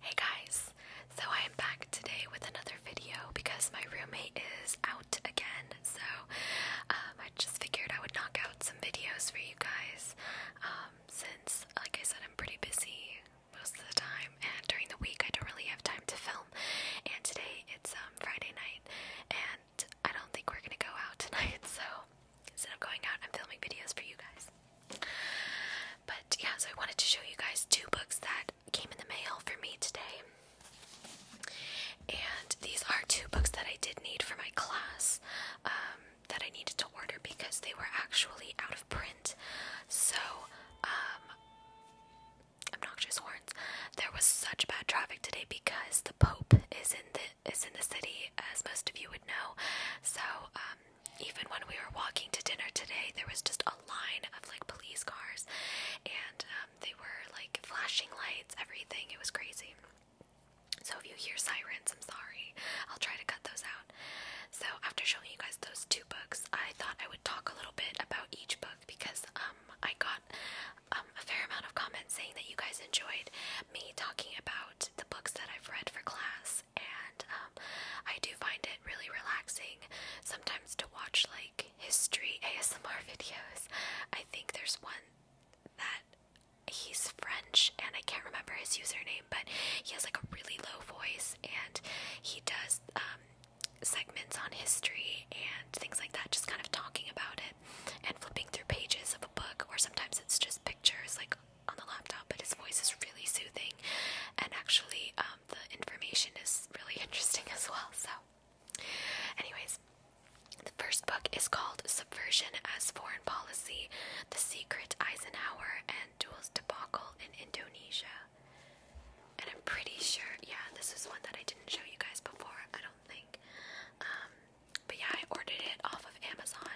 Hey guys, so I am back today with another video because my roommate is out again. So um, I just figured I would knock out some videos for you guys um, since, like I said, I'm pretty busy most of the time, and during the week I don't really have time to film. And today it's um, Friday night, and I don't think we're gonna go out tonight, so instead of going out and filming videos for you guys. But yeah, so I wanted to show you guys two books that came in the mail for me today. And these are two books that I did need for my class um, that I needed to order because they were actually out of print. So, um, obnoxious horns. There was such bad traffic today because the Pope is in the is in the city, as most of you would know. So um, even when we were walking to dinner today, there was just a line of like police cars, and um, they were like flashing lights, everything. It was crazy. So if you hear sirens, I'm sorry. I'll try to cut those out. So after showing you guys those two books, I thought I would talk a little bit about each book because um, I got um, a fair amount of comments saying that you guys enjoyed me talking about the books that I've read for class and um, I do find it really relaxing sometimes to watch like history ASMR videos. I think there's one that he's French and I can't remember his username, but he has like a really low voice and he does um, segments on history and things like that, just kind of talking about it and flipping through pages of a book, or sometimes it's just pictures like on the laptop, but his voice is really soothing, and actually, um, the information is really interesting as well. So, anyways, the first book is called Subversion as Foreign Policy The Secret Eisenhower and Duel's Debacle in Indonesia. And I'm pretty sure, yeah, this is one that I didn't show you guys before, I don't think. Um, but yeah, I ordered it off of Amazon.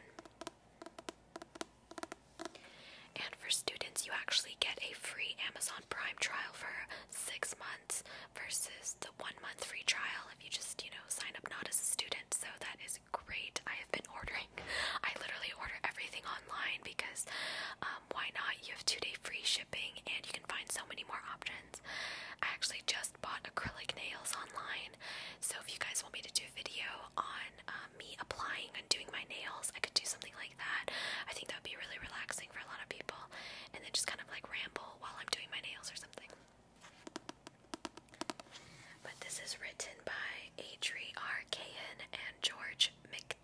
And for students, you actually get a free Amazon Prime trial for six months versus the one month free trial if you just, you know, sign up not as a student. So that is great. I have been ordering. I literally order everything online because um, why not? You have two day free shipping and you can find so many more options. I actually just bought acrylic nails online. So if you guys want me to do a video on, um, me applying and doing my nails. I could do something like that. I think that would be really relaxing for a lot of people. And then just kind of like ramble while I'm doing my nails or something. But this is written by Adri R. and George Mc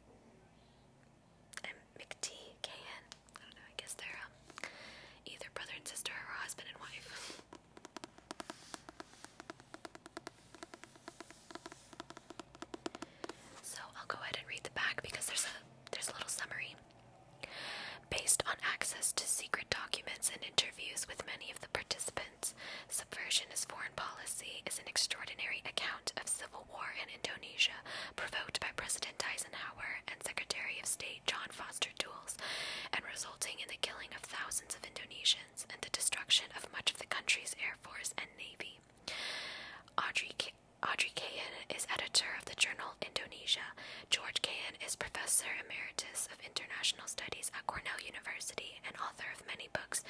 and McT Kahan. I don't know, I guess they're um, either brother and sister or husband and wife. So I'll go ahead and read the back because there's a there's a little summary. Based on access to secret documents and interviews with many of the participants, Subversion is Foreign Policy is an extraordinary account of civil war in Indonesia provoked by President Eisenhower and Secretary of State John Foster Dulles and resulting in the killing of thousands of Indonesians and the destruction of much of the country's air force and navy. Audrey, K Audrey Kayan is editor of the journal Indonesia. George Kayan is professor emeritus of international studies at Cornell University and author of many books,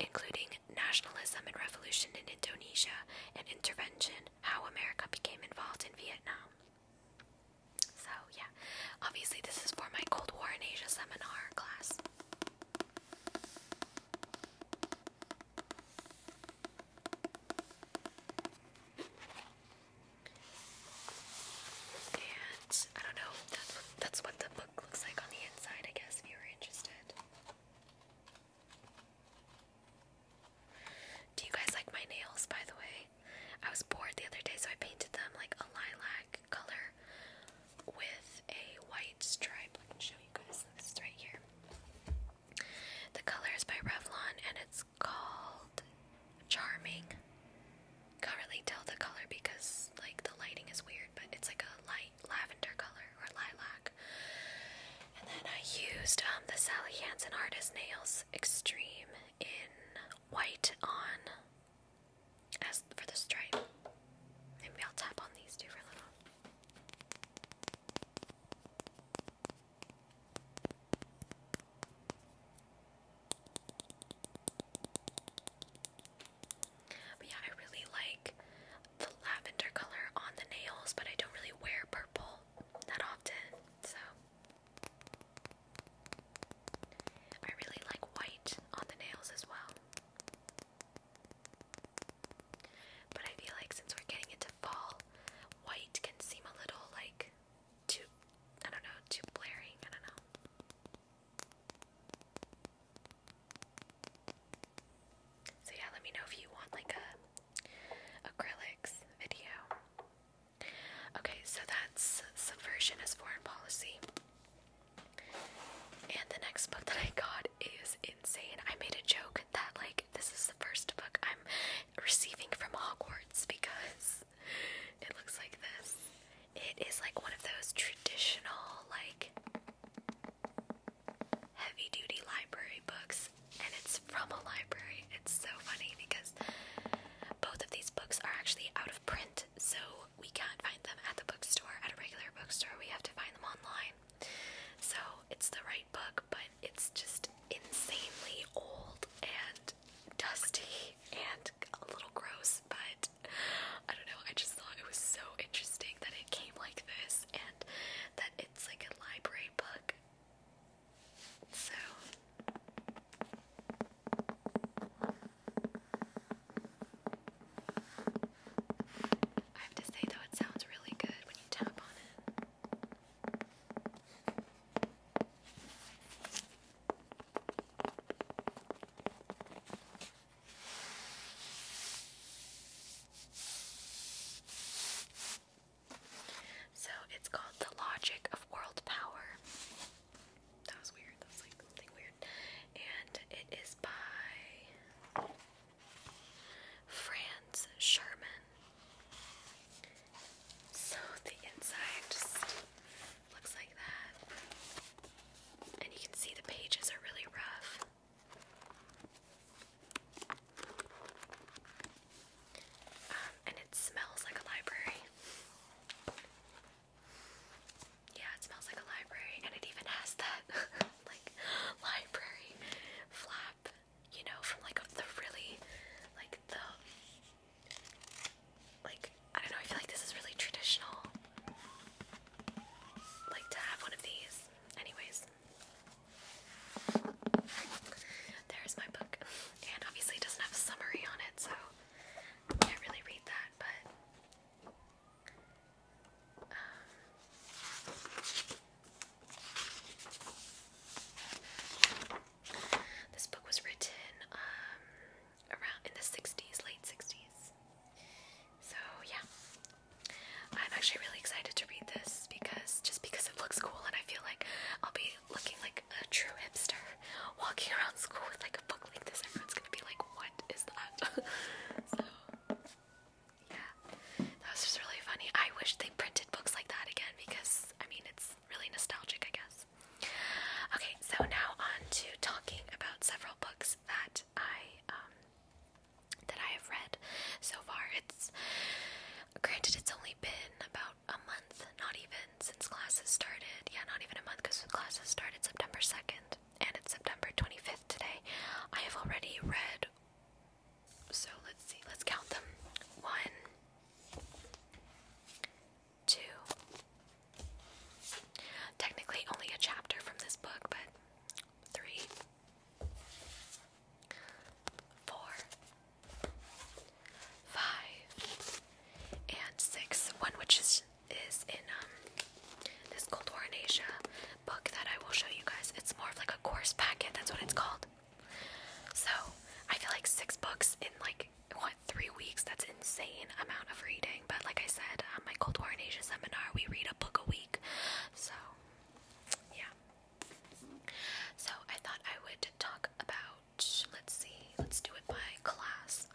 including Nationalism and Revolution in Indonesia and Intervention How America Became Involved in Vietnam. So, yeah, obviously, this is for my Cold War in Asia seminar class. And I don't know, that's that's what the book looks like on the inside, I guess, if you were interested. Do you guys like my nails, by the way? I was bored the other day, so I painted them like a lilac color with a white stripe. I can show you guys this right here. The color is by Revlon and it's called Charming. Can't really tell the color because like the lighting is weird, but it's like a light lavender color or lilac. And then I used um, the Sally Hansen Artist Nails Extreme in white on as for the stripe, maybe I'll tap on these two for a little. But yeah, I really like the lavender color on the nails, but I don't really wear purple that often, so. I really like white on the nails as well. But I feel like since we're getting into fall, white can seem a little like too, I don't know, too blaring. I don't know. So yeah, let me know if you want like a acrylics video. Okay, so that's subversion as foreign policy. And the next book that I got is insane. I made a joke that, like, this is the first book I'm receiving from Hogwarts because it looks like this. It is like one of those traditional, like, heavy duty library books, and it's from a library. It's so funny because both of these books are actually out of print, so we can't find them at the bookstore, at a regular bookstore. We have to find them online. So it's the right book, but it's just insanely old and dusty and a little gross, but I don't know. I just thought it was so interesting that it came like this and that it's like a library book. So I have to say, though, it sounds really good when you tap on it. So it's called The Logic of World Power. That was weird. That like something weird. And it is by Franz Sherman. So the inside just looks like that. And you can see the pages are really rough. Um, and it smells like a library. Yeah, it smells like a library, and it even has that like library flap, you know, from like the really like the like I don't know. I feel like this is really traditional, like to have one of these. Anyways, there's my book, and obviously it doesn't have a summary on it, so I can't really read that, but this book was written um, around in the 60s, late 60s. So, yeah. I'm actually really excited to read this because just because it looks cool and I feel like I'll be looking like a true hipster walking around school with like a book like this. Everyone's gonna be like, what is that? so, yeah, that was just really funny. I wish they printed books like that again because, I mean, it's really nostalgic, I guess. Okay, so now on to talking about several books that I, um, that I have read so far. It's, granted, it's only been about a month, not even, since classes started. Yeah, not even a month because classes started September 2nd and it's September 25th today. I have already read, so let's see, let's count them. One, two, technically only a chapter from this book, but three, four, five, and six. One which is is in um this Cold War in Asia book that I will show you guys. It's more of like a course packet, that's what it's called. So I feel like six books in like what three weeks, that's insane amount of reading. But like I said, on um, my Cold War in Asia seminar we read a book a week. So yeah. So I thought I would talk about let's see, let's do it by class.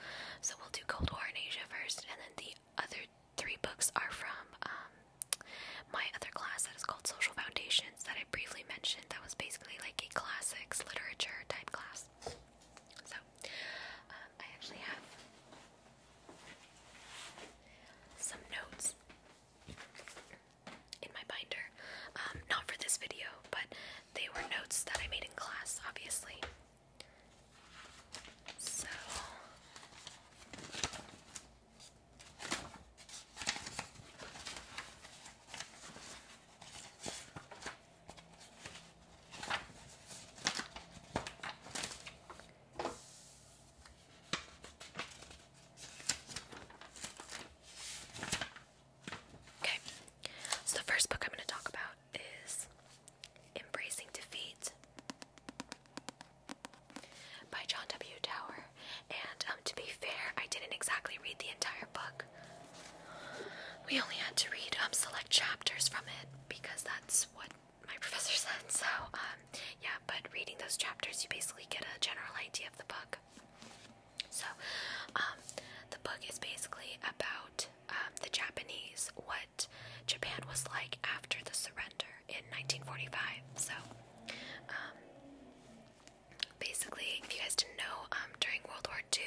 So we'll do Cold War in Asia first and then the other three books are from um, my other class that is called Social Foundations that I briefly mentioned. That was basically like a classics literature type class. So um, I actually have some notes in my binder. Um, not for this video, but they were notes that I made in class, obviously. So Okay, so the first book I'm going to talk about is Embracing Defeat by John W. Tower. And um, to be fair, I didn't exactly read the entire book. We only had to read um, select chapters from it because that's what my professor said. So, um, yeah, but reading those chapters, you basically get a general idea of the book. So, um, the book is basically about um, the Japanese, what Japan was like after the surrender in 1945. So, um, basically, if you guys didn't know, um, during World War II,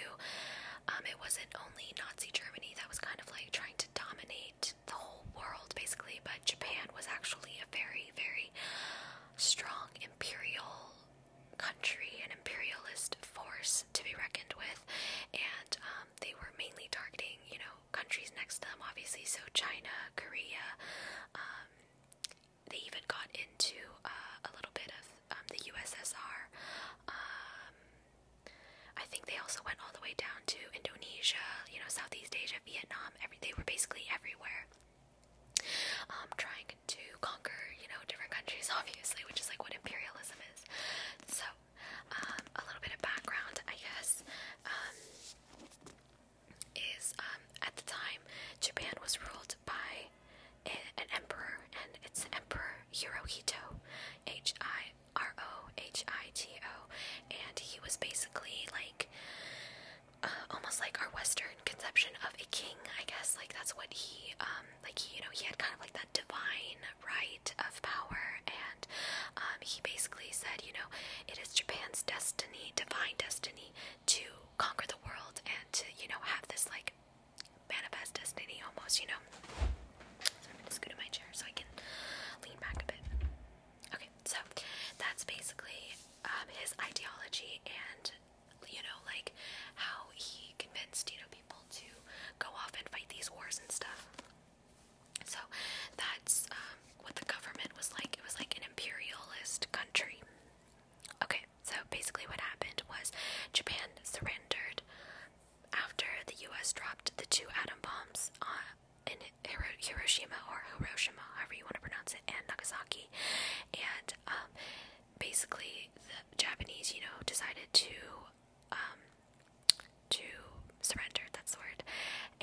um, it wasn't only Nazi Germany that was kind of like trying to dominate the whole world, basically, but Japan was actually a very, very strong imperial country, and imperialist force to be reckoned with, and they were mainly targeting, you know, countries next to them, obviously. So China, Korea. Um, they even got into uh, a little bit of um, the USSR. Um, I think they also went all the way down to Indonesia, you know, Southeast Asia, Vietnam. Every they were basically everywhere, trying to conquer, you know, different countries, obviously, which is like what imperialism is. So a little bit of background, I guess, um, is um, at the time Japan was ruled by an emperor, and it's Emperor Hirohito, H I R O H I T O, and he was basically like uh, almost like our Western conception of a king, I guess. Like that's what he, um, like he, you know, he had kind of like that divine right of power, and um, he basically said, you know, it is Japan's destiny, divine destiny, to conquer the world and to, you know, have this like manifest destiny almost, you know. So I'm gonna scoot in my chair so I can lean back a bit. Okay, so that's basically um, his ideology and you know, like how he convinced, you know, people to go off and fight these wars and stuff. So that's um, what the government was like. It was like an imperialist country. Okay, so basically, what happened was Japan surrendered after the U.S. dropped the two atom bombs uh, in Hiroshima or Hiroshima, however you want to pronounce it, and Nagasaki. And um, basically, the Japanese, you know, decided to um, to surrender, that the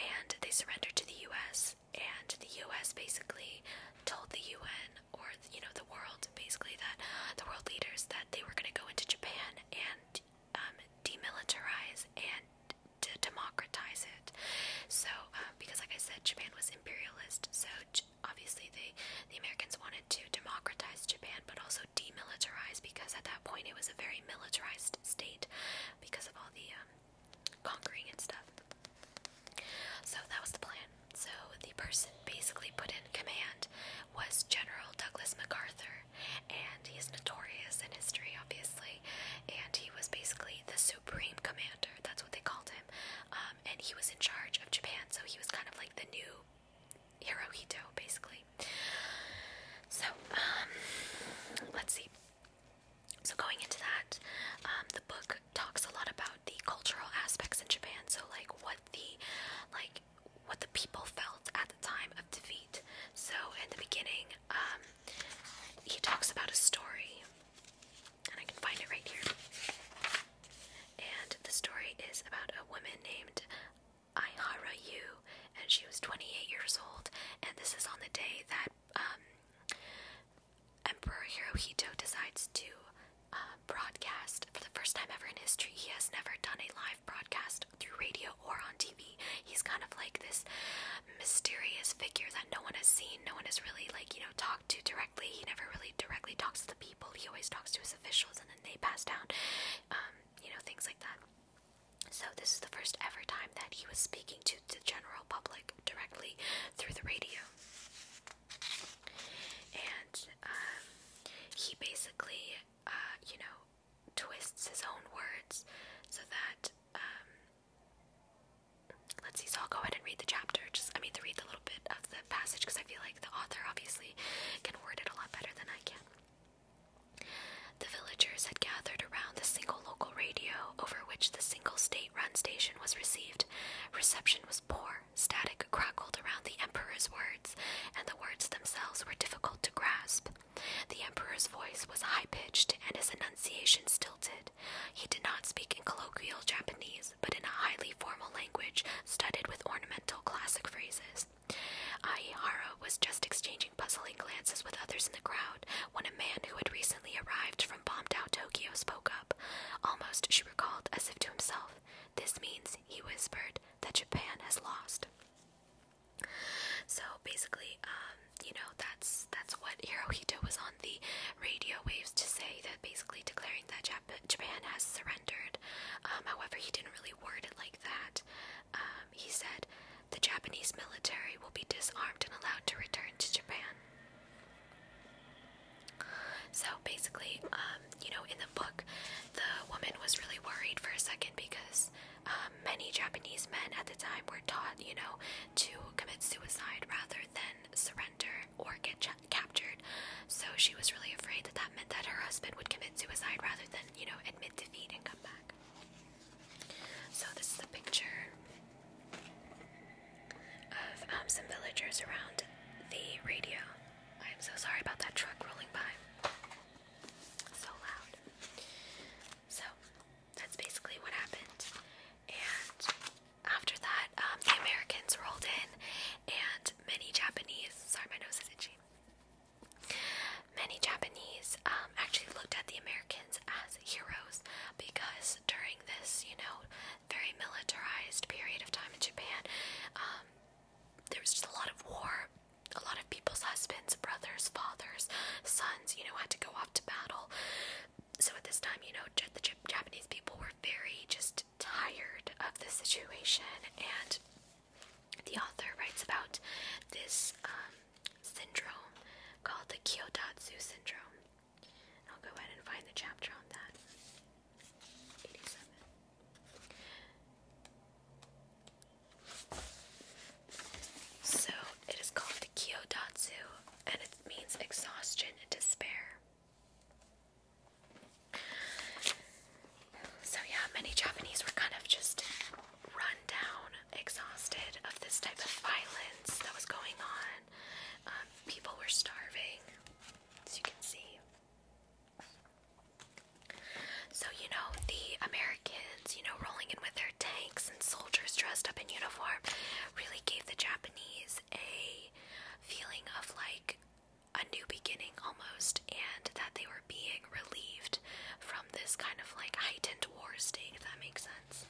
and they surrendered to the US and the US basically told the UN or you know the world basically that the world leaders that they were going to go into Japan and um, demilitarize and democratize it. So um, because like I said Japan was imperialist so obviously they the Americans wanted to democratize Japan but also demilitarize because at that point it was a very militarized state because of all the um, conquering and stuff. So that was the plan. So the person basically put in command was General Douglas MacArthur, and he's notorious in history, obviously. And he was basically the supreme commander. That's what they called him. Um, and he was in charge of Japan, so he was kind of like the new Hirohito, basically. So, um, let's see. So, going into that, um, the book talks a lot about the cultural aspects in Japan. So, like what the, like what the people felt at the time of defeat. So, in the beginning, um, he talks about a story, and I can find it right here. And the story is about a woman named Aihara Yu, and she was 28 years old, and this is on the day that um, Emperor Hirohito decides to uh, broadcast for the first time ever in history. He has never done a live broadcast through radio or on TV. He's kind of like this mysterious figure that no one has seen, no one has really, like, you know, talked to directly. He never really directly talks to the people, he always talks to his officials, and then they pass down, um, you know, things like that. So, this is the first ever time that he was speaking to the general public directly through the radio. And um, he basically, uh, you know, twists his own words so that, um, let's see, so I'll go ahead and read the chapter. Just, I mean, to read the little bit of the passage because I feel like the author obviously can word it a lot better than I can. The villagers had gathered around the single local radio over which the single state run station was received. Reception was poor, static crackled around the Emperor's words, and the words themselves were difficult to grasp. The Emperor's voice was high pitched and his enunciation stilted. He did not speak in colloquial Japanese, but in a highly formal language studded with ornamental classic phrases eyes. Aihara was just exchanging puzzling glances with others in the crowd when a man who had recently arrived from bombed out Tokyo spoke up. Almost, she recalled, as if to himself. This means, he whispered, that Japan has lost. So basically, um, you know, that's that's what Hirohito was on the radio waves to say that basically declaring that Japan has surrendered. Um, however, he didn't really word it like that. Um, um, he said, the Japanese military will be disarmed and allowed to return to Japan. So basically, um, you know, in the book, the woman was really worried for a second because um, many Japanese men at the time were taught, you know, to commit suicide rather than surrender or get captured. So she was really afraid that that meant that her husband would commit suicide rather than, you know, admit defeat and come back. So this is a picture of um, some villagers around the radio. I am so sorry about that truck rolling by. So loud. So that's basically what happened. And after that, um, the Americans rolled in, and many Japanese. Sorry, my nose is itchy. Many Japanese um, actually looked at the Americans as heroes because during this, you know, very militarized period of time in Japan, um, there was just a lot of war. A lot of people's husbands, brothers, fathers, sons, you know, had to go off to battle. So at this time, you know, the Japanese people were very just tired of the situation, and the author writes about this um, syndrome called the Kyoto syndrome. I'll go ahead and find the chapter on that. So it is called the Kyodatsu and it means exhaustion and despair. So yeah, many Japanese were kind of just run down exhausted of this type of violence that was going on. Um, people were starving, as you can see. So, you know, the Americans, you know, rolling in with their tanks and soldiers dressed up in uniform really gave the Japanese a feeling of like a new beginning almost, and that they were being relieved from this kind of like heightened war state, if that makes sense.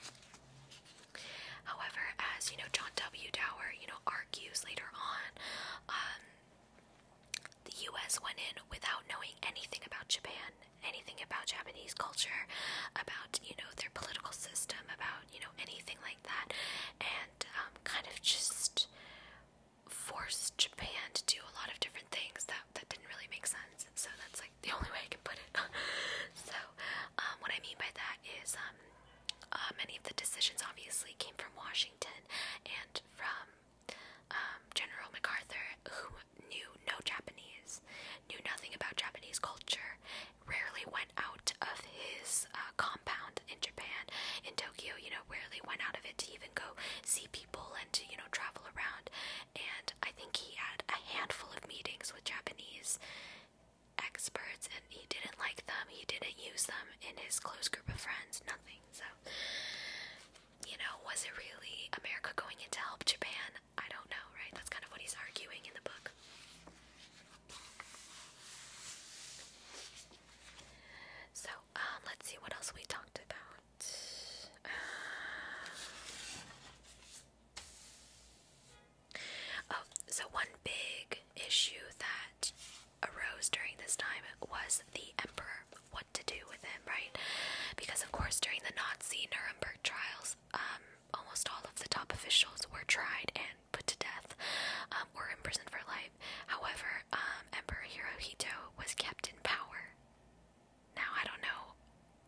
However, as you know, John W. Dower, you know, argues later on, um, the U.S. went in without knowing anything about Japan, anything about Japanese culture, about you know their political system, about you know anything like that, and um, kind of just forced Japan to do a lot of different things that that didn't really make sense. So that's like the only way I can put it. so, um, what I mean by that is, um, uh, many of the decisions obviously came from Washington and from um, General MacArthur, who knew no Japanese, knew nothing about Japanese culture, rarely went out of his uh, compound in Japan, in Tokyo, you know, rarely went out of it to even go see people and to, you know, travel around and I think he had a handful of meetings with Japanese experts and he didn't like them, he didn't use them in his close group of friends, nothing. So, you know, was it really America going in to help Japan? I don't know, right? That's kind of what he's arguing in the book. So, um, let's see what else we talked about. Oh, so one big issue that arose during this time was the emperor. What to do with him, right? Because of course, during the Nazi Nuremberg trials, um, almost all of the top officials were tried and put to death, um, or imprisoned for life. However, um, Emperor Hirohito was kept in power now, I don't know,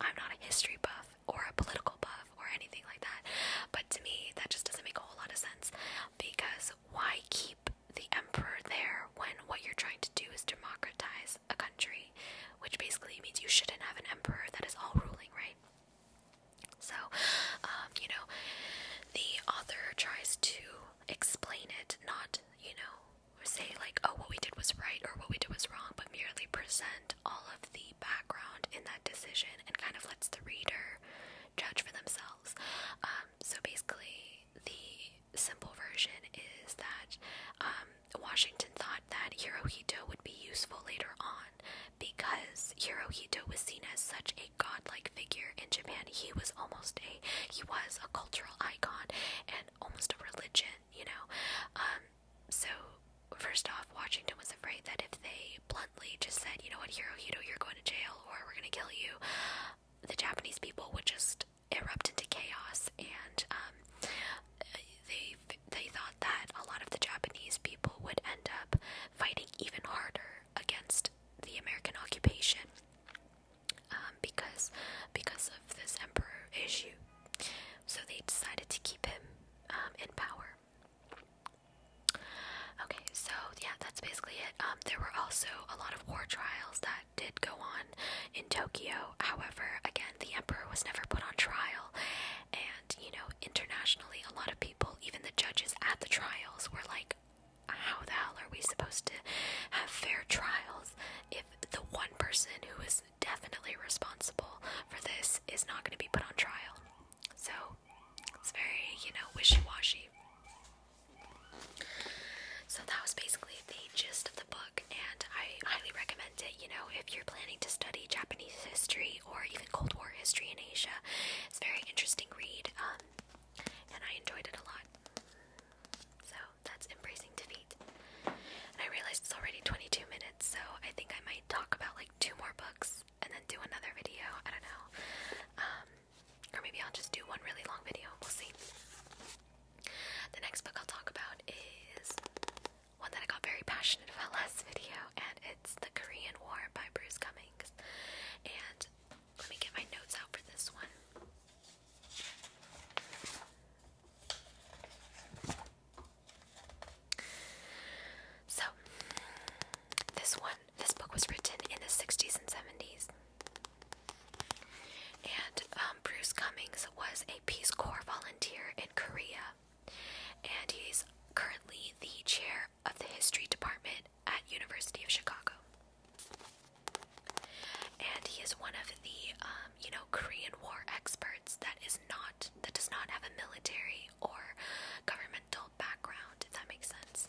I'm not a history buff or a political buff or anything like that, but to me, that just doesn't make a whole lot of sense because why keep the emperor there when what you're trying to do is democratize a country, which basically means you shouldn't have an emperor that is all ruling, right? So, um, you know, the author tries to explain it, not, you know, or say like, oh, what we did was right or what we did was wrong, but merely present all of the background in that decision and kind of lets the reader judge for themselves. Um, so basically, the simple version is that um, Washington thought that Hirohito would be useful later on because Hirohito was seen as such a godlike figure in Japan. He was almost a he was a cultural icon and almost a religion you know. Um, so first off, Washington was afraid that if they bluntly just said, you know what, Hirohito, you're going to jail or we're gonna kill you, the Japanese people would just erupt into chaos and um, they they thought that a lot of the Japanese people would end up fighting even harder against the American occupation um, because because of this emperor issue so they decided to keep him um, in power. Okay, so yeah, that's basically it. Um, there were also a lot of war trials that did go on in Tokyo. However, again, the emperor was never put on trial, and you know, internationally, a lot of people, even the judges at the trials, were like, "How the hell are we supposed to have fair trials if the one person who is definitely responsible for this is not going to be put on trial. So it's very, you know, wishy washy. So that was basically the gist of the book, and I highly recommend it. You know, if you're planning to study Japanese history or even Cold War history in Asia, it's a very interesting read, um, and I enjoyed it a lot. So that's embracing defeat. And I realized it's already 22 minutes, so I think I might talk about like two more books and then do another video. I don't know. Um, or maybe I'll just do one really long video. We'll see. The next book I'll talk about is one that I got very passionate about last video, and it's The Korean War by Bruce Cummings. And let me get my notes out for this one. So, this one, this book was written in the 60s and 70s. And um, Bruce Cummings was a Peace Corps volunteer in Korea. And he's currently the chair of the history department at University of Chicago. And he is one of the, um, you know, Korean War experts that is not that does not have a military or governmental background, if that makes sense.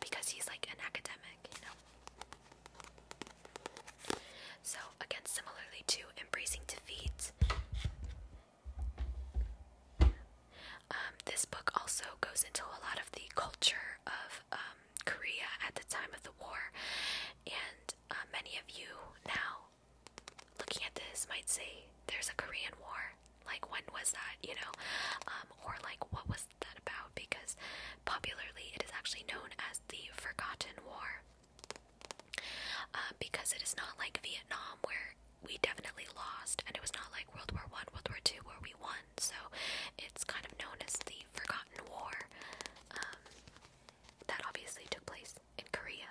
Because he's like an academic, you know. So again, similarly to embracing defeat. Um, this book also goes into a lot of the culture of um, Korea at the time of the war, and uh, many of you now looking at this might say there's a Korean War. Like when was that, you know? Um, or like what was that about? Because popularly it is actually known as the Forgotten War. Um, because it is not like Vietnam where we definitely lost and it was not like World War One, World War Two where we won. So it's kind of known as the Forgotten War. Um, that obviously took place in Korea.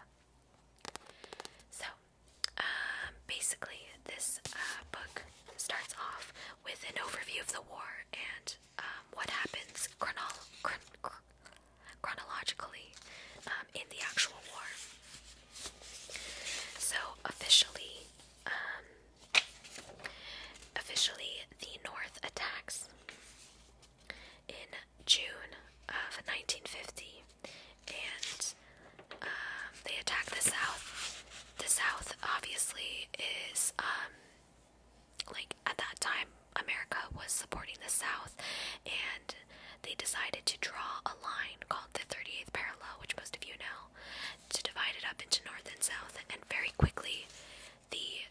So, um, basically, this uh, book starts off with an overview of the war and um, what happens chronologically um, in the actual war. So, officially, officially, the North attacks in June of 1950, and um, they attacked the South. The South obviously is um, like at that time America was supporting the South, and they decided to draw a line called the 38th parallel, which most of you know, to divide it up into North and South, and very quickly the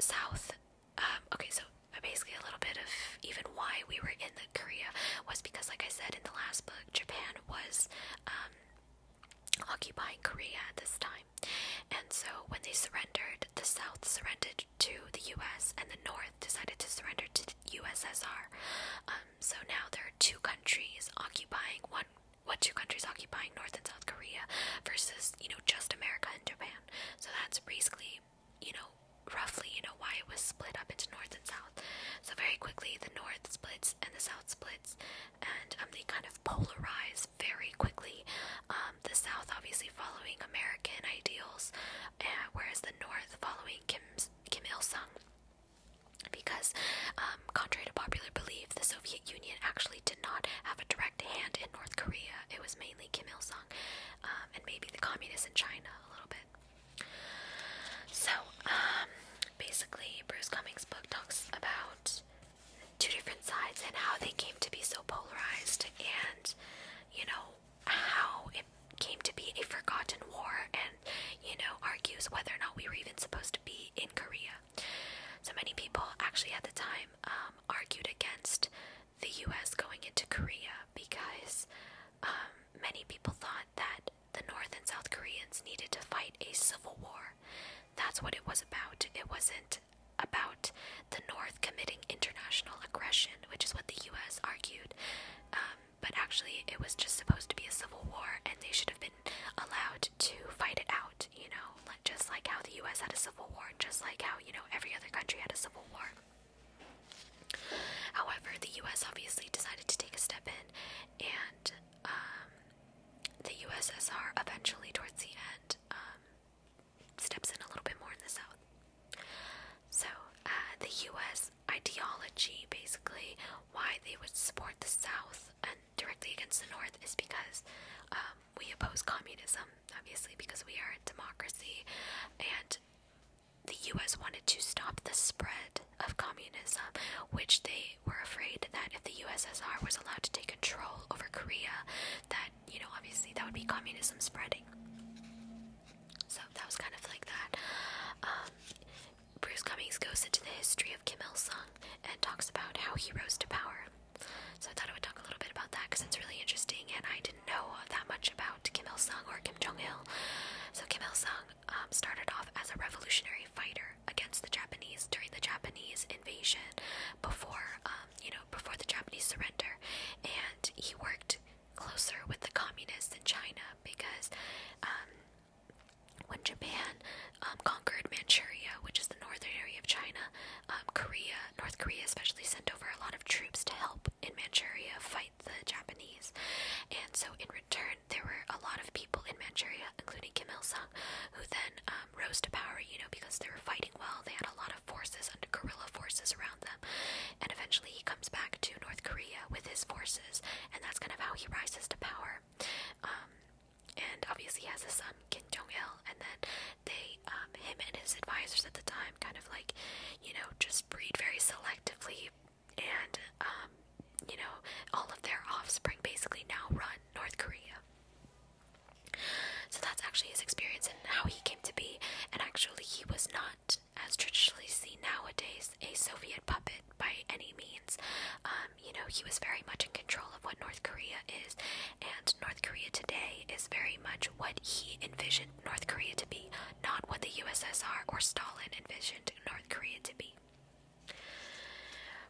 South um, okay, so uh, basically a little bit of even why we were in the Korea was because, like I said in the last book, Japan was um, occupying Korea at this time, and so when they surrendered, the South surrendered to the U.S. and the North decided to surrender to the USSR. Um, so now there are two countries occupying one. What two countries occupying North and South Korea versus you know just America and Japan? So that's basically you know, roughly, you know, why it was split up into north and south. So very quickly, the north splits and the south splits, and um, they kind of polarize very quickly. Um, the south obviously following American ideals, whereas the north following Kim's, Kim Il Sung. Because, um, contrary to popular belief, the Soviet Union actually did not have a direct hand in North Korea. It was mainly Kim Il Sung um, and maybe the communists in China a little bit. So, um, basically, Bruce Cummings' book talks about two different sides and how they came to be so polarized, and you know how it came to be a forgotten war, and you know argues whether or not we were even supposed to be in Korea. So many people actually at the time um, argued against the US going into Korea because um, many people thought that the North and South Koreans needed to fight a civil war. That's what it was about. It wasn't about the North committing international aggression, which is what the US argued. Um, but actually, it was just supposed to be a civil war, and they should have been allowed to fight it out, you know, just like how the US had a civil war, just like how, you know, every other country had a civil war. However, the U.S. obviously decided to take a step in, and um, the USSR eventually, towards the end, um, steps in a little bit more in the south. So, uh, the U.S. ideology, basically, why they would support the south and directly against the north, is because um, we oppose communism, obviously, because we are a democracy, and the US wanted to stop the spread of communism, which they were afraid that if the USSR was allowed to take control over Korea, that, you know, obviously that would be communism spreading. So that was kind of like that. Um, Bruce Cummings goes into the history of Kim Il sung and talks about how he rose to power. So I thought I would talk a little bit about that because it's really interesting and I didn't did know that much about Kim Il Sung or Kim Jong Il. So Kim Il Sung um, started off as a revolutionary fighter against the Japanese during the Japanese invasion, before um, you know before the Japanese surrender, and he worked closer with the communists in China because. Um, when Japan conquered Manchuria, which is the northern area of China, Korea, North Korea especially, sent over a lot of troops to help in Manchuria fight the Japanese. And so, in return, there were a lot of people in Manchuria, including Kim Il sung, who then um, rose to power, you know, because they were fighting well. They had a lot of forces under guerrilla forces around them. And eventually, he comes back to North Korea with his forces, and that's kind of how he rises to power. Um, and obviously, he has a son, Kim Jong il, and then they, um, him and his advisors at the time kind of like, you know, just breed very selectively and, um, you know, all of their offspring basically now run North Korea. So that's actually his experience and how he came to be. And actually, he was not, as traditionally seen nowadays, a Soviet puppet by any means. Um, you know, he was very much in control of what North Korea is, and North Korea today is very much what he envisioned North Korea to be, not what the USSR or Stalin envisioned North Korea to be.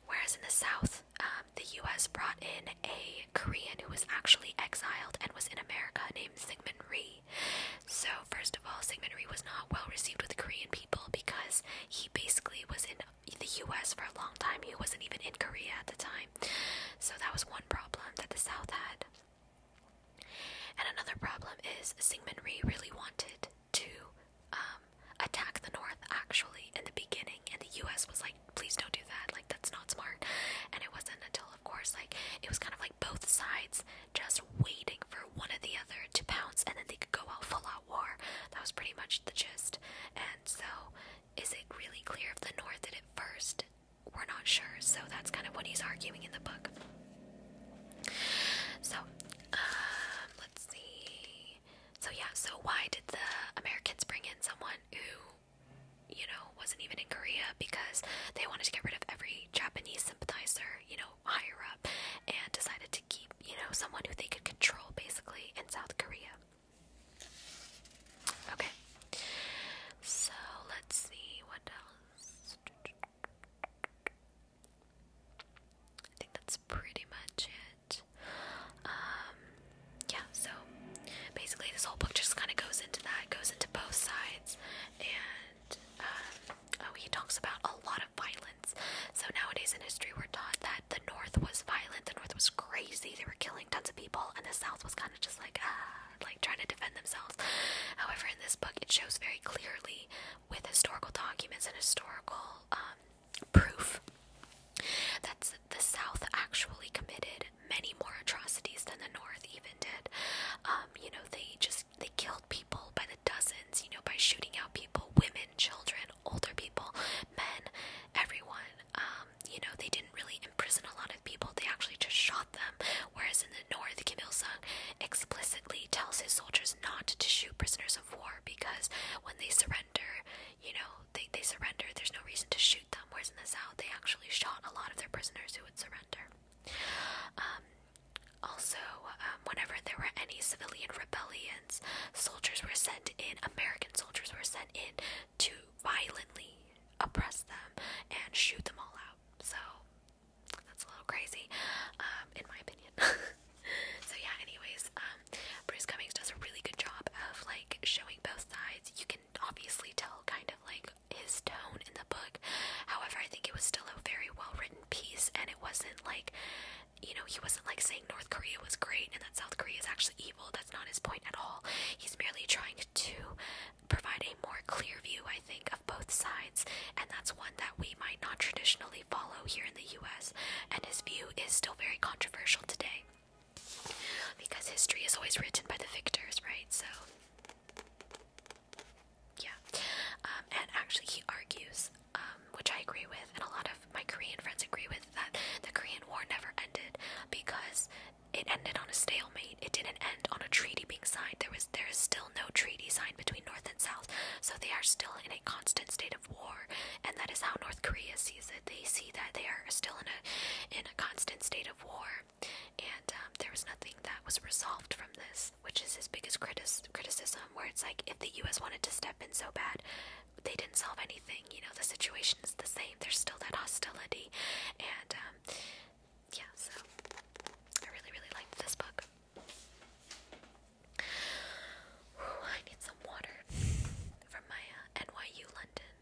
Whereas in the South, um, the US brought in a Korean who was actually exiled and was in America named Syngman Ri. So, first of all, Syngman Ri was not well received with the Korean people because he basically was in the US for a long time. He wasn't even in Korea at the time. So, that was one problem that the South had. And another problem is Syngmanree really wanted to um, attack the North actually in the beginning, and the U.S. was like, "Please don't do that. Like that's not smart." And it wasn't until, of course, like it was kind of like both sides just waiting for one or the other to pounce, and then they could go out full out war. That was pretty much the gist. And so, is it really clear of the North did it first? we're not sure. So that's kind of what he's arguing in the book. So, um, let's see. So, yeah, so why did the Americans bring in someone who, you know, wasn't even in Korea? Because they wanted to get rid of every Japanese sympathizer, you know, higher up, and decided to keep, you know, someone who they could control basically in South Korea. Okay. So let's see what else. I think that's pretty much it. Um, yeah, so basically this whole book just kind of goes into that, goes into both sides, and um, oh, he talks about a lot of violence. So nowadays in history, we're taught that the North was violent, the North was crazy, they were killing tons of people, and the South was kind of just like ah, uh, like trying to defend themselves. However, in this book, it shows very clearly with historical documents and historical um, proof that the South actually committed many more atrocities than the North even did. Um, you know, they just they killed people by the dozens. You know, by shooting out people, women, children, older people, men, everyone. Um, you know, they didn't really prison, a lot of people they actually just shot them. Whereas in the north, Kim Il Sung explicitly tells his soldiers not to shoot prisoners of war because when they surrender, you know, they, they surrender, there's no reason to shoot them. Whereas in the south, they actually shot a lot of their prisoners who would surrender. Um, also, um, whenever there were any civilian rebellions, soldiers were sent in, American soldiers were sent in to violently oppress them and shoot them all out. So that's a little crazy, um, in my opinion. so yeah, anyways, um, Bruce Cummings does a really good job of like showing both sides. You can obviously tell kind of like his tone in the book. However, I think it was still a very well written piece and it wasn't like you know, he wasn't like saying North Korea was great and that South Korea is actually evil. That's not his point at all. He's merely trying to provide a more clear view, I think, of both sides, and that's one that we might not traditionally follow here in the US, and his view is still very controversial today. Because history is always written by the victors, right? So, yeah. Um, and actually, he argues, um, which I agree with, and a lot of my Korean friends agree with, that the Korean War never ended because it ended on a stalemate. It didn't end on a treaty being signed. There there is still no treaty signed between North and South, so they are still in a constant state of war, and that is how North Korea sees it. They see that they are still in a in a constant state of war, and um, there was nothing that was resolved from this, which is his biggest critis- criticism. Where it's like if the U.S. wanted to step in so bad, they didn't solve anything. You know the situation is the same. There's still that hostility, and um, yeah, so I really, really liked this book. I need some water from my uh, NYU London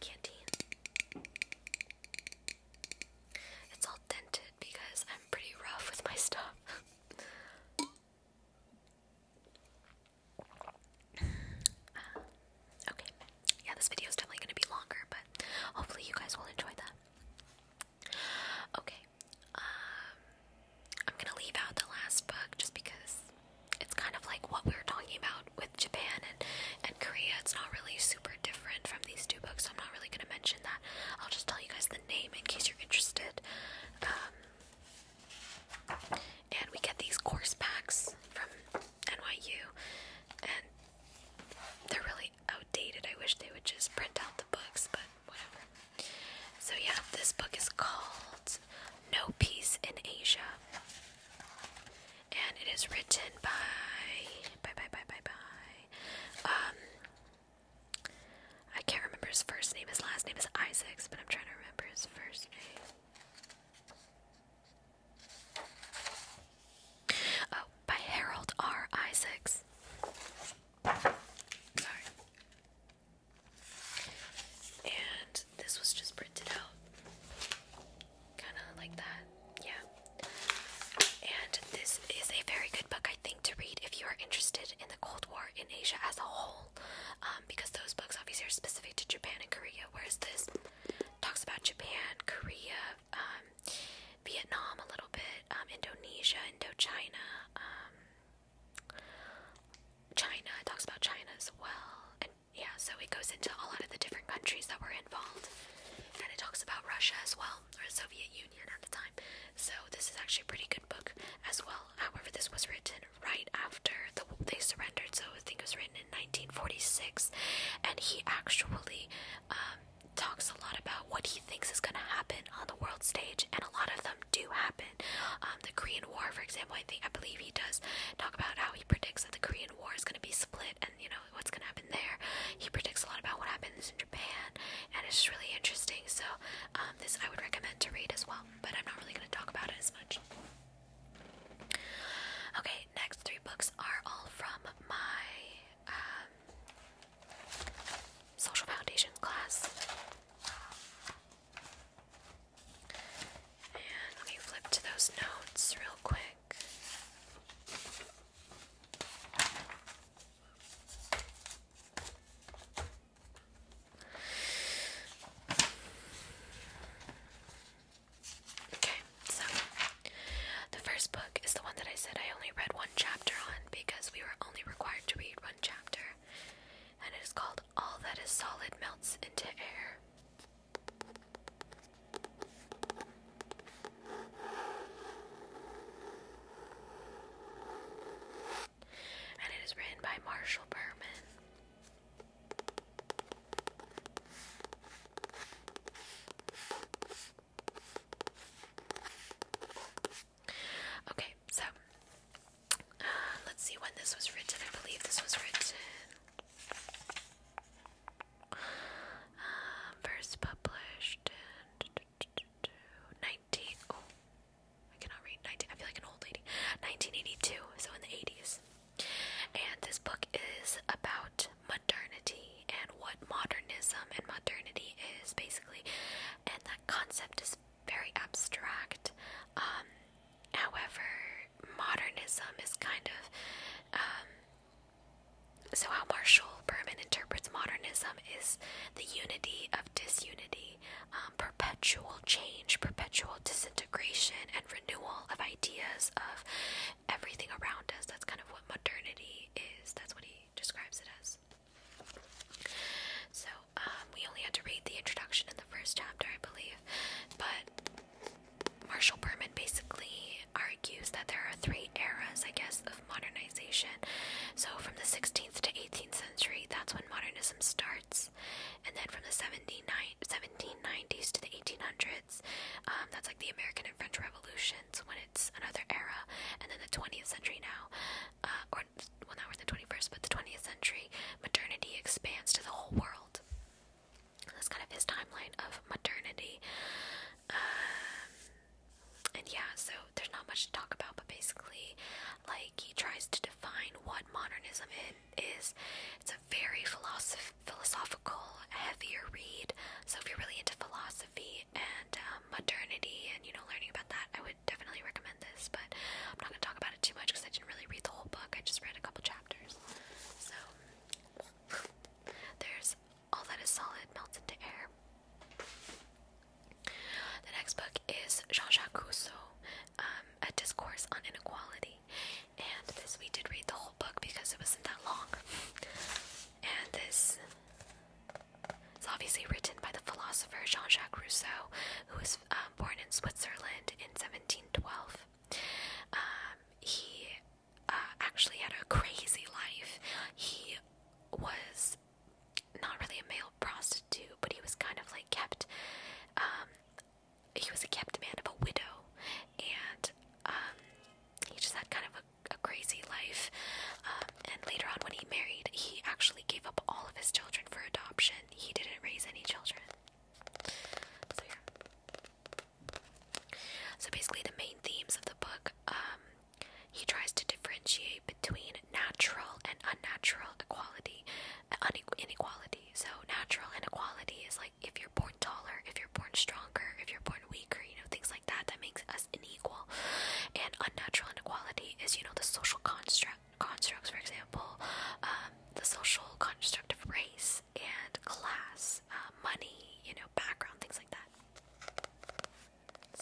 canteen. It's all dented because I'm pretty rough with my stuff. Ah, okay yeah, this video is definitely going to be longer, but hopefully you guys will enjoy that. Okay, um, I'm going to leave out the last book just because it's kind of like what we were talking about with Japan and, and Korea. It's not really super different from these two books, so I'm not really going to mention that. I'll just tell you guys the name in case you're interested. Um, and we get these course packs from NYU, and they're really outdated. I wish they would just print out the books, but whatever. So, yeah, this book is called No Peace in Asia. And it is written by. Bye, bye, bye, bye, Um. I can't remember his first name. His last name is Isaacs, but I'm trying to remember his first name. Oh, by Harold R. Isaacs. Sorry. And this was just printed out. Kind of like that. Yeah. And this is a very good book, I think, to read if you are interested in the Cold War in Asia as a whole. Um, because those books obviously are specific to Japan and Korea, whereas this talks about Japan, Korea, um, Vietnam a little bit, um, Indonesia, Indochina, um, China. talks about China as well, and yeah, so it goes into a lot of the different countries that were involved, and it talks about Russia as well, or Soviet Union at the time. So this is actually a pretty good book as well. However, this was written right after the, they surrendered, so I think it was written in 1946, and he actually um, talks a lot about what he thinks is going to happen on the world stage, and a lot of them do happen. Um, the Korean War, for example, I think I believe he does talk about how he predicts that the Korean War is going to be split, and you know what's going to happen there. He predicts a lot about what happens in Japan, and it's just really interesting. So um, this I would recommend to read as well, but I'm not really going to talk about it as much. Okay, next three books are all from my uh, social foundations class. And let me flip to those notes real quick. Okay so the first book is the one that I said I only read one chapter on because we were only required to read one chapter, and it is called All That Is Solid Melts into Air. And it is written by Marshall Berman. Okay, so uh, let's see when this was written. I believe this was written. Um, first published in 19. Oh, I cannot read 19. I feel like an old lady. 1982, so in the 80s. And this book is about modernity and what modernism and modernity is basically, and that concept is very abstract. Um, however, modernism is kind of um, so how Marshall Berman interprets modernism is the unity of disunity, um, perpetual change, perpetual disintegration, and renewal of ideas of everything around us. That's kind of what modernity is. That's what he describes it as. So, um, we only had to read the introduction in the first chapter, I believe, but Marshall Berman basically argues that there are three eras, I guess, of modernization. So, from the 16th to 18th century, that's when modernism starts, and then from the 1790s to the 1800s, um, that's like the American and French revolutions when it's another era, and then the 20th century now, uh, or well, now we the 21st, but the 20th century, modernity expands to the whole world. That's kind of his timeline of modernity, um, and yeah, so there's not much to talk about, but basically, like, he tries to define what modernism is. It's a very philosoph philosophical, heavier read. So if you're really into philosophy, and um, modernity and you know learning about that, I would definitely recommend this. But I'm not gonna talk about it too much because I didn't really read the whole book. I just read a couple chapters. So there's all that is solid melts into air. The next book is Jean-Jacques Rousseau, um, A Discourse on Inequality, and this we did read the whole book because it wasn't that long. And this is obviously written by the philosopher Jean Jacques Rousseau, who was um, born in Switzerland in 1712. Um, he uh, actually had a crazy life. He was not really a male prostitute, but he was kind of like kept. Um, he was a kept man of a widow, and he just had kind of a a crazy life. Um, and later on, when he married, he actually gave up all of his children for adoption. He didn't raise any children. So, yeah. So basically, the main themes of the book, um, he tries to differentiate between natural and unnatural equality, uh, inequality. So natural inequality is like if you're born taller, if you're born stronger, if you're born born weaker, you know, things like that that makes us unequal. And unnatural inequality is, you know, the social construct constructs, for example, um, the social construct of race and class, um, money, you know, background, things like that.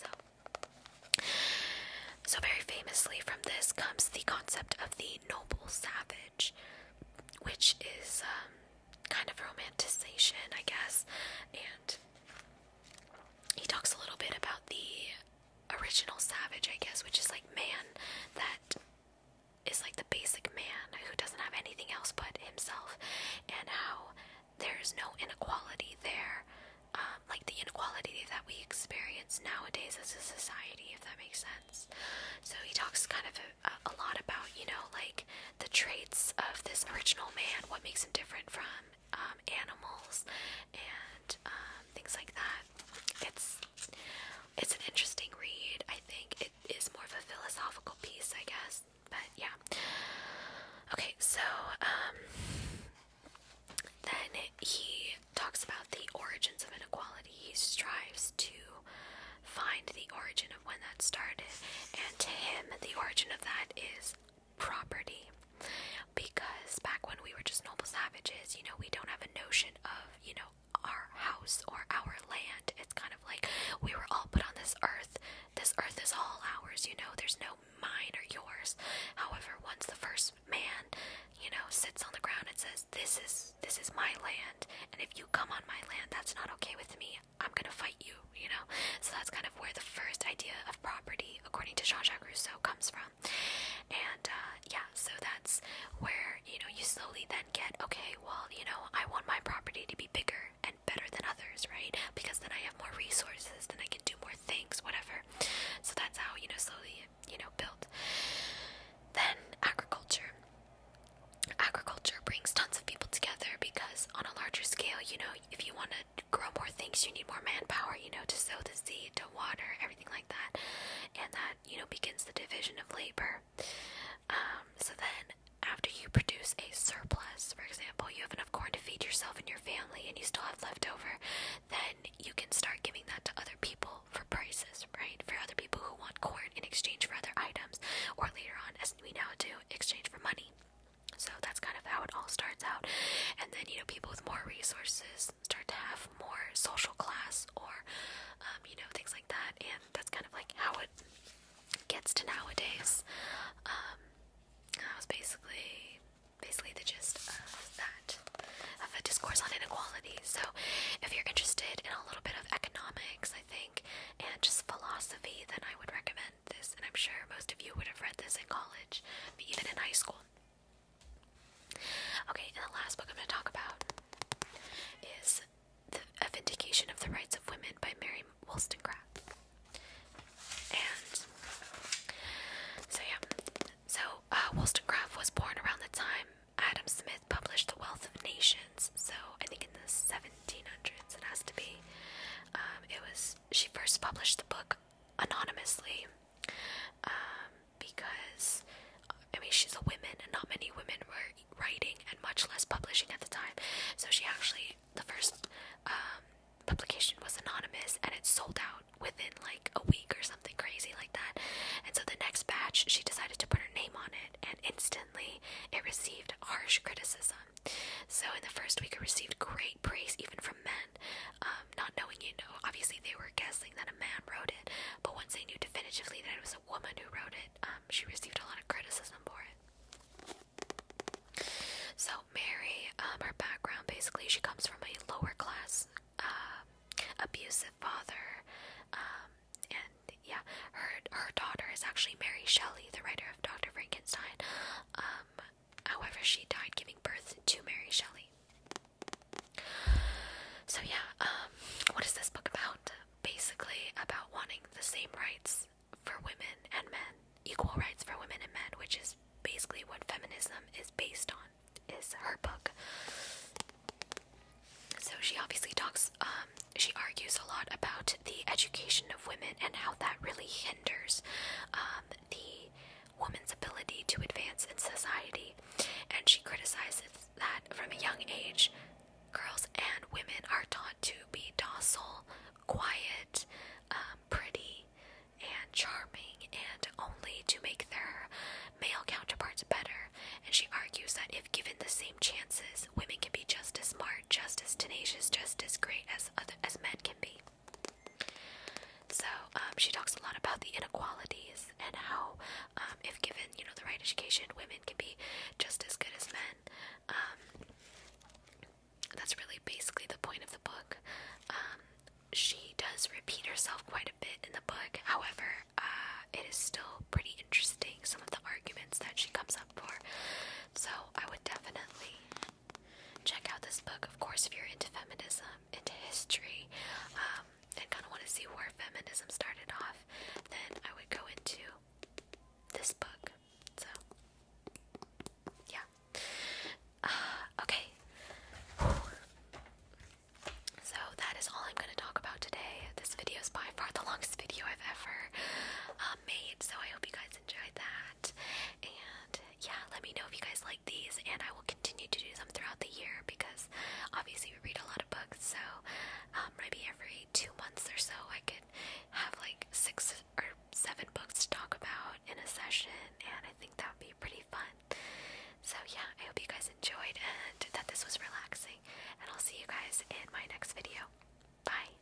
So, so very famously from this comes the concept of the noble savage, which is um, kind of romanticization, I guess. And he talks a little bit about the original savage, I guess, which is like man that is like the basic man who doesn't have anything else but himself, and how there's no inequality there, um, like the inequality that we experience nowadays as a society, if that makes sense. So he talks kind of a lot about, you know, like the traits of this original man, what makes him different from um, animals and um, things like that. It's it's an interesting read. I think it is more of a philosophical piece, I guess. But yeah. Okay, so um, then he talks about the origins of inequality. He strives to find the origin of when that started, and to him, the origin of that is property. Because back when we were just noble savages, you know, we don't have a notion of, you know, our house or our land. It's kind of like we were all put on this earth. This earth is all ours, you know, there's no mine or yours. However, once the first man, you know, sits on the ground and says, This is this is my land and if you come on my land, that's not okay with me. I'm gonna fight you, you know? So that's kind of where the first idea of property, according to Jean Jacques Rousseau, comes from. And uh, yeah, so that's where, you know, you slowly then get, okay, well, you know, I want my property to be bigger and better than others, right? Because then I have more resources, then I can do more things, whatever. So that's how, you know, slowly, you know, built. Then agriculture. Agriculture brings tons of people together because on a larger scale, you know, if you want to grow more things, you need more manpower, you know, to sow the seed, to water, everything like that. And that, you know, begins the division of labor. Um, so then, after you produce a surplus, for example, you have enough corn to feed yourself and your family, and you still have leftover, then you can start giving that to other people for prices, right? For other people who want corn in exchange for other items, or later on, as we now do, exchange for money. So that's kind of how it all starts out. And then, you know, people with more resources start to have more social class or, um, you know, things like that. And that's kind of like how it gets to nowadays. Um, that was basically, basically the gist of that, of a discourse on inequality. So if you're interested in a little bit of economics, I think, and just philosophy, then I would recommend read this, and I'm sure most of you would have read this in college, but even in high school. Okay, and the last book I'm going to talk about is the A Vindication of the Rights of Women by Mary Wollstonecraft. And so, yeah, so uh, Wollstonecraft was born around the time Adam Smith published The Wealth of Nations. So, I think in the 1700s, it has to be. Um, it was she first published the book anonymously um, because I mean she's a woman and not many women were writing and much less publishing at the time. So she actually the first um, publication was anonymous and it sold out within like a week or something crazy like that. And so the next batch she decided to put her name on it and instantly it received harsh criticism so in the first week, I received great praise even from men. Um, not knowing, you know, obviously they were guessing that a man wrote it, but once they knew definitively that it was a woman who wrote it, um, she received a lot of criticism for it. So Mary, um, her background basically, she comes from a lower class, um, abusive father, and yeah, her her daughter is actually Mary Shelley, the writer of Doctor Frankenstein. However, she died giving birth to Mary Shelley. So yeah, um, what is this book about? Basically, about wanting the same rights for women and men, equal rights for women and men, which is basically what feminism is based on. Is her book. So she obviously talks. Um, she argues a lot about the education of women and how that really hinders um, the woman's ability to advance in society. And she criticizes that from a young age, girls and women are taught to be docile, quiet, um, pretty, and charming, and only to make their male counterparts better. And she argues that if given the same chances, women can be just as smart, just as tenacious, just as great as as men can be. So um, she talks a lot about the inequalities and how, um, if given, you know, the right education, women can be just as good as men. Um, that's really basically the point of the book. she does repeat herself quite a bit in the book. However, uh, it is still pretty interesting some of the arguments that she comes up for. So I would definitely check out this book, of course, if you're into feminism, into history, um, and kind of want to see where feminism started off, then I would go into this book. So, yeah. Uh, okay. So, that is all I'm going to talk about today. This video is by far the longest video I've ever uh, made, so I hope you guys enjoyed that. And yeah, let me know if you guys like these, and I will continue to do them throughout the year because obviously we read a lot of books. So um, maybe every two months or so, I could have like six or seven books to talk about in a session, and I think that would be pretty fun. So yeah, I hope you guys enjoyed and that this was relaxing, and I'll see you guys in my next video. Bye.